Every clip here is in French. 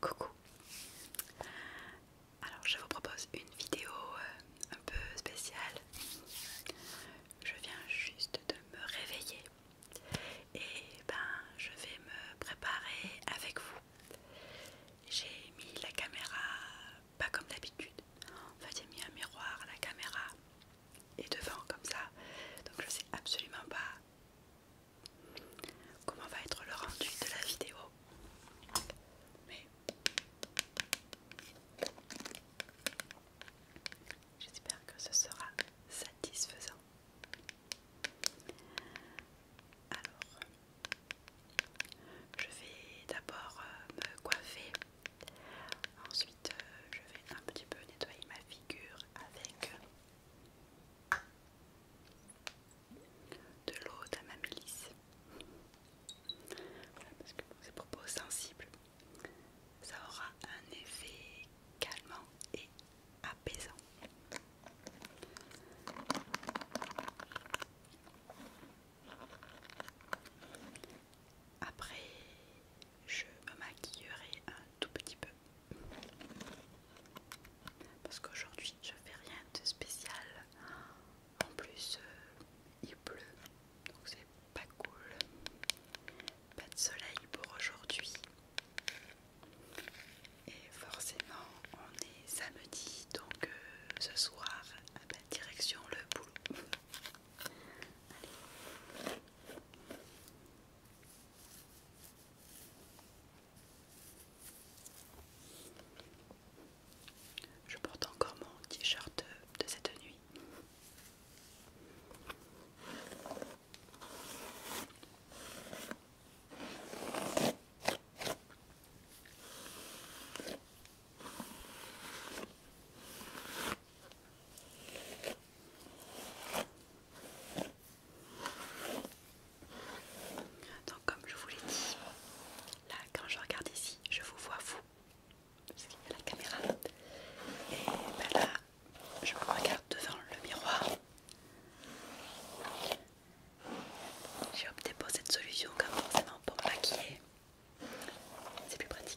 Coucou. Alors je vous propose une vidéo euh, un peu spéciale. Je viens juste de me réveiller et ben je vais me préparer avec vous. J'ai mis la caméra pas comme d'habitude. En fait, j'ai mis un miroir, la caméra et devant comme ça. Donc je sais absolument pas comment va être le rendu de la vidéo. Mais j'espère que ce sera satisfaisant. Alors, je vais d'abord euh, me coiffer. Ensuite, euh, je vais un petit peu nettoyer ma figure avec de l'eau ma Voilà, parce que pour ces propos sensible. Ça aura un effet calmant et apaisant. Après, je me maquillerai un tout petit peu. Parce qu'aujourd'hui, je fais rien de spécial. En plus, euh, il pleut, donc c'est pas cool. Pas de soleil pour aujourd'hui. Et forcément, on est samedi, donc euh, ce soir, à la direction le boulot. Je porte encore mon t-shirt de cette nuit. Donc comme je vous l'ai dit, là quand je regarde ici, je vous vois vous, la caméra. Et ben là, je me regarde devant le miroir. J'ai opté pour cette solution car forcément pour maquiller, c'est plus pratique.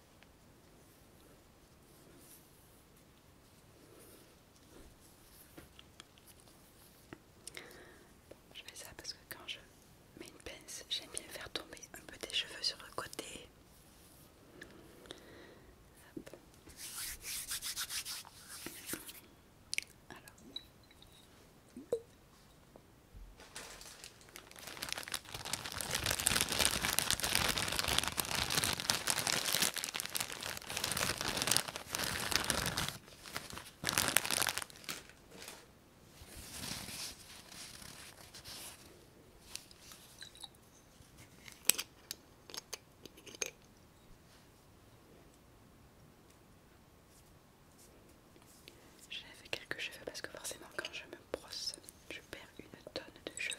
je fais ça parce que quand je mets une pince, j'aime bien faire tomber un peu des cheveux sur le côté. Alors. J'avais quelques cheveux parce que forcément quand je me brosse, je perds une tonne de cheveux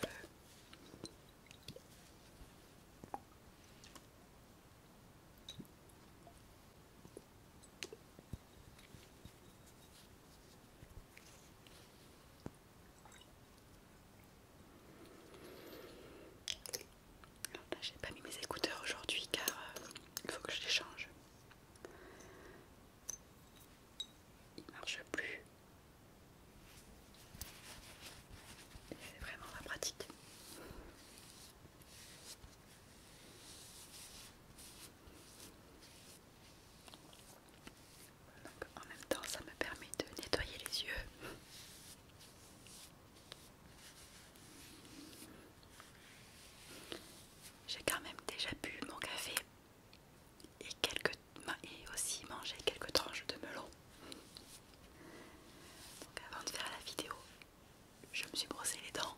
j'ai pas mis mes écouteurs aujourd'hui car euh, il faut que je les change il marche plus. C'est vraiment la pratique. en même temps, ça me permet de nettoyer les yeux. J'ai quand même déjà bu mon café et, quelques, et aussi manger quelques tranches de melon. avant de faire la vidéo, je me suis brossé les dents.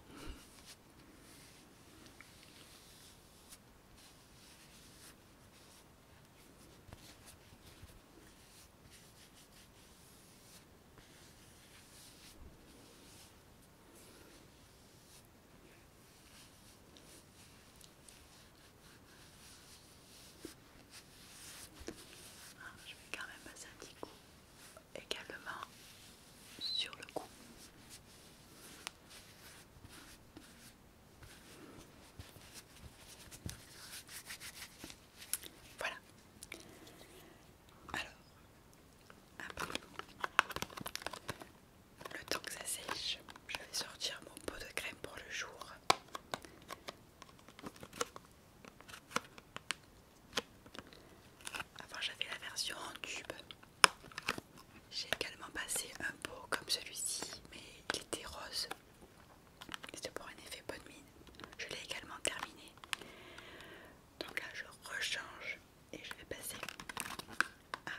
Ah, je vais quand même passer un petit coup également sur le cou. Voilà. Alors, après, le temps que ça sèche, je vais sortir mon pot de crème pour le jour. Avant j'avais la version en tube. J'ai également passé un pot comme celui-ci, mais il était rose. C'était pour un effet bonne mine. Je l'ai également terminé. Donc là je rechange et je vais passer à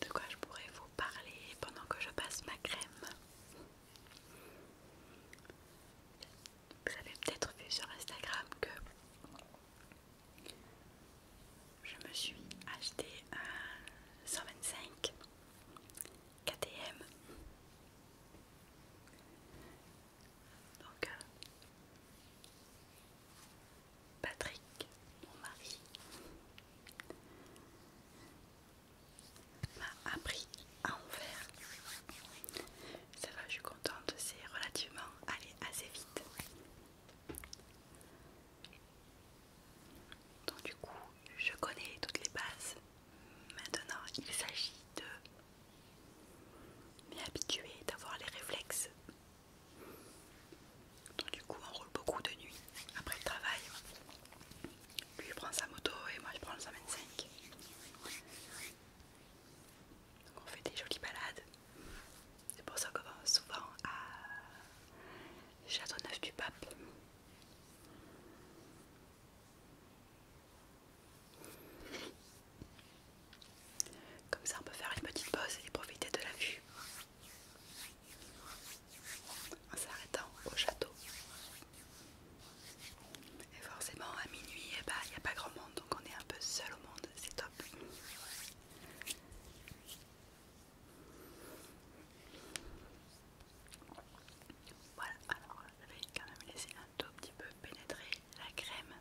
de quoi je pourrais vous parler pendant que je passe ma crème Vous avez peut-être vu sur Instagram que je me suis acheté un 125 KTM. Donc, euh, Patrick, mon mari, m'a appris à en faire. Ça va, je suis contente, c'est relativement allé assez vite. Donc du coup, je connais toutes les bases. Maintenant, il s'agit de m'y habituer, d'avoir les réflexes. Donc du coup, on roule beaucoup de nuit après le travail. Lui il prend sa moto et moi je prends le 125. Donc on fait des jolies balades. C'est pour ça qu'on va souvent à Château Neuf du Pape. Comme ça on peut faire une petite pause et profiter de la vue en s'arrêtant au château. Et forcément à minuit, eh ben, il n'y a pas grand monde, donc on est un peu seul au monde, c'est top. Voilà, alors je vais quand même laisser un tout petit peu pénétrer la crème.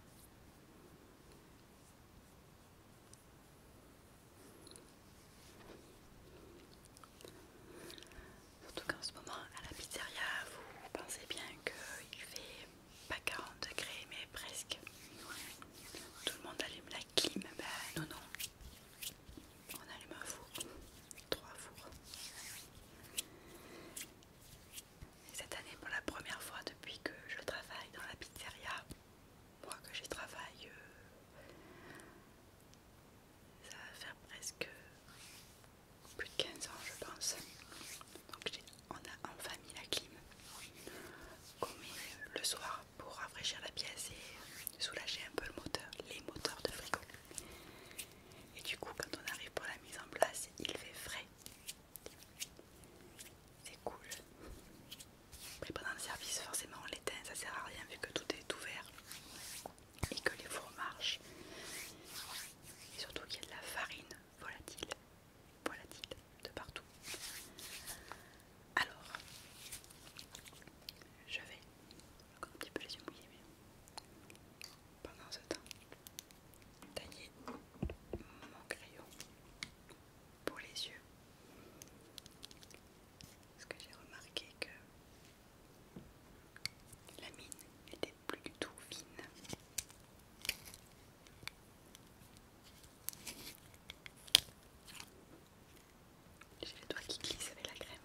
Surtout qu'en ce moment à la pizzeria, vous pensez bien qu'il fait pas 40 degrés, mais presque. Tout le monde allume la clim, ben non, non. On allume un four, trois fours. cette année, pour la première fois depuis que je travaille dans la pizzeria, moi que j'y travaille, euh, ça va faire presque plus de 15 ans, je pense. Donc on a en famille la clim qu'on met le soir pour rafraîchir la pièce et soulager un peu le moteur, les moteurs de frigo. Et du coup quand on arrive pour la mise en place, il fait frais. C'est cool. Après pendant le service forcément on l'éteint, ça sert à rien vu que tout est ouvert et que les fours marchent. Et surtout qu'il y a de la farine volatile voilà-t-il, de partout. Alors, je vais un petit peu les yeux mouillés, mais pendant ce temps, tailler mon crayon pour les yeux. Parce que j'ai remarqué que la mine n'était plus du tout fine. J'ai les doigts qui glissent avec la crème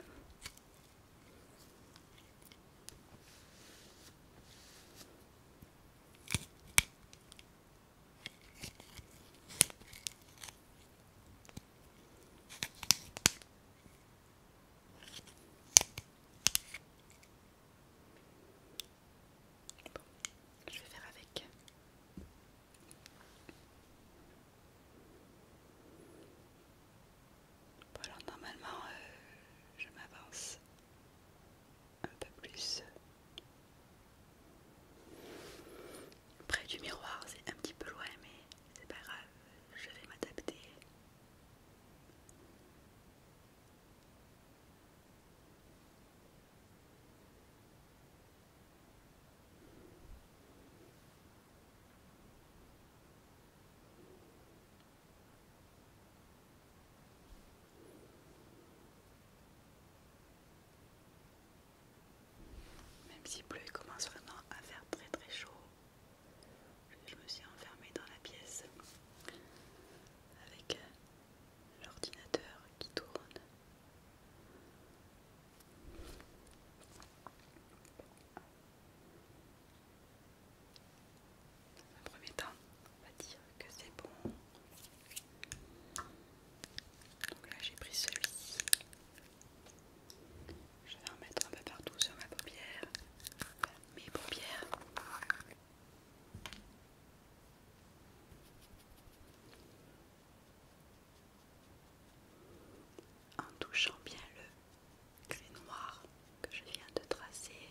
je vais faire avec. alors, normalement, euh, je m'avance un peu plus près du miroir, c'est un petit peu loin, mais c'est pas grave, je vais m'adapter. Même si bleu commence vraiment à faire très très chaud. Je me suis enfermée dans la pièce avec euh, l'ordinateur qui tourne. Dans premier temps, on va dire que c'est bon. Donc là, j'ai pris celui-ci. Je vais en mettre un peu partout sur ma paupière. Mes paupières. En touchant bien le clé noir que je viens de tracer.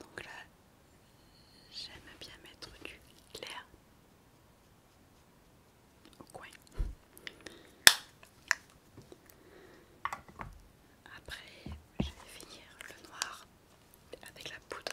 Donc là, j'aime bien mettre du clair au coin. Après, je vais finir le noir avec la poudre.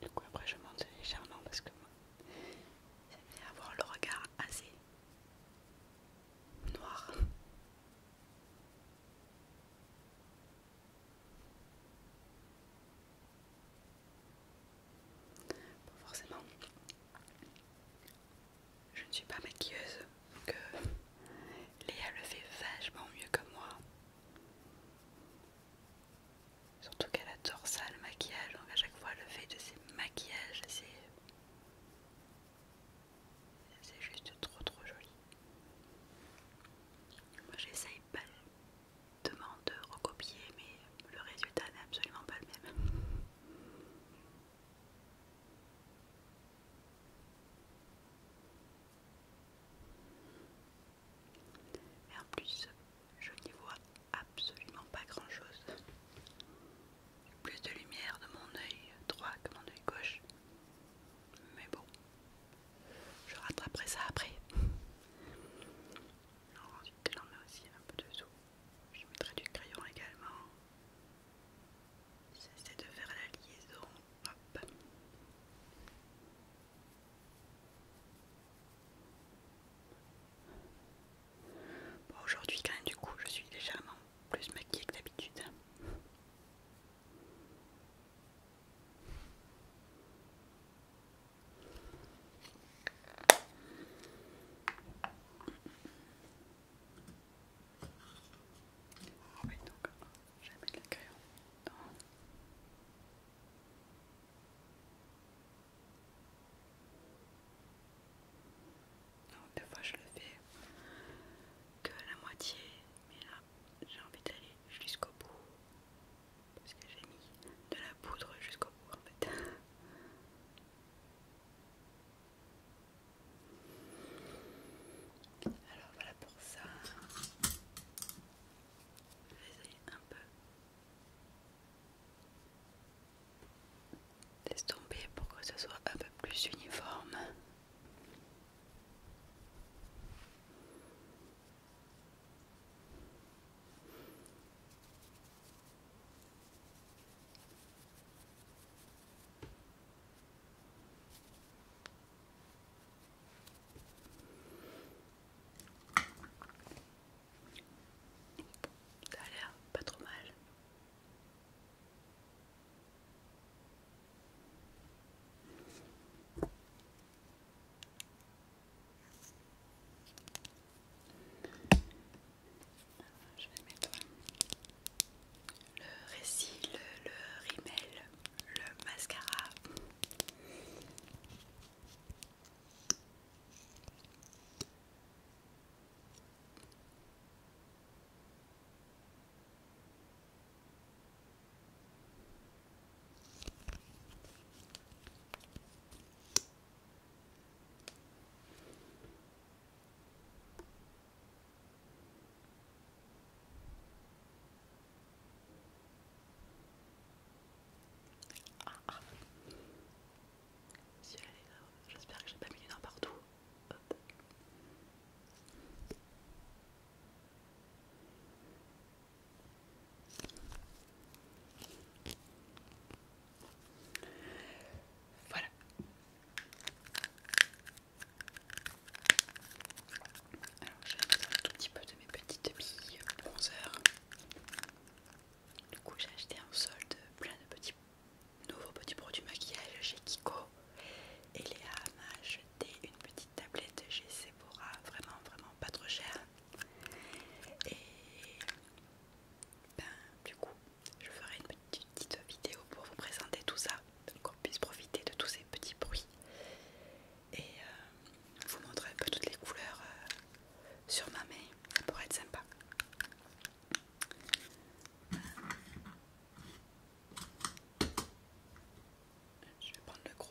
Du coup après je monte légèrement parce que moi j'aime avoir le regard assez noir. forcément, je ne suis pas maquilleuse, donc euh, Léa le fait vachement mieux que moi. Surtout qu'elle adore ça, le maquillage. Donc à chaque fois, le fait de ses maquillages, c'est... C'est juste trop trop joli. Moi j'essaye pas de recopier mais le résultat n'est absolument pas le même. Et en plus, je n'y vois absolument pas grand-chose. Plus de lumière de mon œil droit que mon œil gauche. Mais bon, je rattraperai ça après. Alors ensuite, j'en mets aussi un peu dessous. Je mettrai du crayon également c'est de faire la liaison. Hop. aujourd'hui quand même du coup je suis légèrement plus maquillée que d'habitude. donc Jamais de la crayon. Non. des fois je le fais que la moitié, mais là j'ai envie d'aller jusqu'au bout parce que j'ai mis de la poudre jusqu'au bout en fait. Alors voilà pour ça. Je un peu d'estomper pour que ce soit un peu plus uniforme. Ça a l'air pas trop mal. Je vais mettre le récit, le, rimel, le mascara. J'espère que j'ai pas mis les dents partout. Voilà. Alors je vais un tout petit peu de mes petites billes bronzeurs Du coup j'ai acheté en solde plein de petits nouveaux petits produits maquillage chez Kiko. Et Léa m'a acheté une petite tablette chez Sephora, vraiment vraiment pas trop chère. Et ben, du coup je ferai une petite petite vidéo pour vous présenter tout ça, qu'on puisse profiter de tous ces petits bruits et euh, vous montrer un peu toutes les couleurs euh, sur ma main, pour pourrait être sympa. Je vais prendre le gros.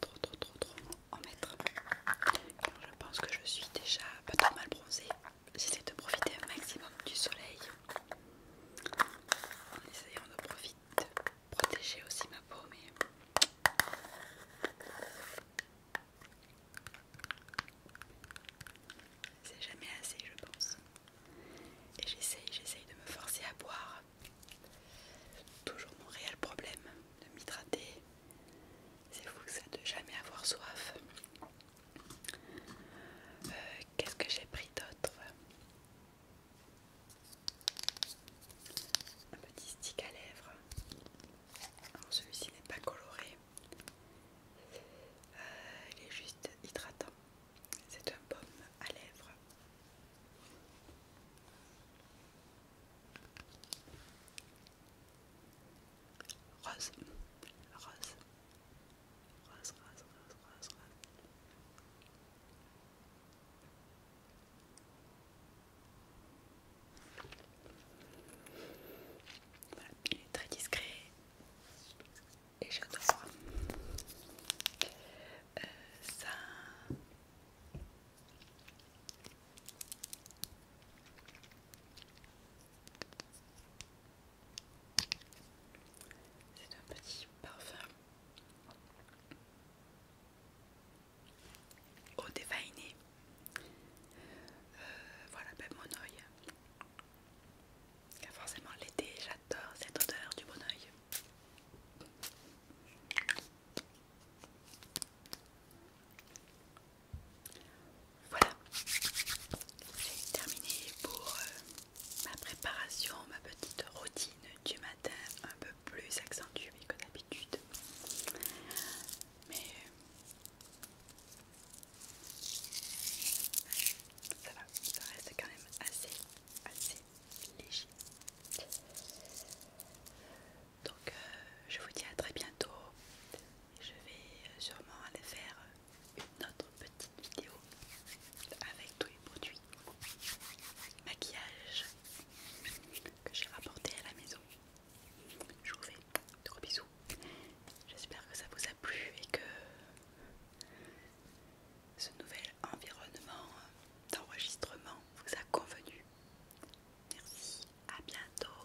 trop trop trop trop en oh, mettre. je pense que je suis déjà pas trop mal bronzée. J'essaie de profiter un maximum du soleil en essayant de profiter protéger aussi ma peau, mais c'est jamais assez, je pense. Et j'essaye, j'essaye de me forcer à boire. Toujours mon réel problème de m'hydrater. C'est fou que ça de jamais avoir soif. Euh, qu'est-ce que j'ai pris d'autre un petit stick à lèvres. celui-ci n'est pas coloré, euh, il est juste hydratant. C'est un pomme à lèvres. rose, rose, rose, rose, rose, rose. Voilà, il est très discret et j'adore. Euh, ça. C'est un petit parfum au dévainé. Euh, voilà, ben mon oeil. forcément, l'été, j'adore cette odeur du bon oeil. Voilà, j'ai terminé pour euh, ma préparation, ma petite routine du matin un peu plus accentué que d'habitude. Mais euh, ça va, ça reste quand même assez, assez léger. Donc euh, je vous dis à très bientôt. Je vais euh, sûrement aller faire une autre petite vidéo avec tous les produits maquillage que j'ai rapporté à la maison. Je vous fais de gros bisous. J'espère que ça vous a plu et que ce nouvel environnement d'enregistrement vous a convenu. Merci, à bientôt.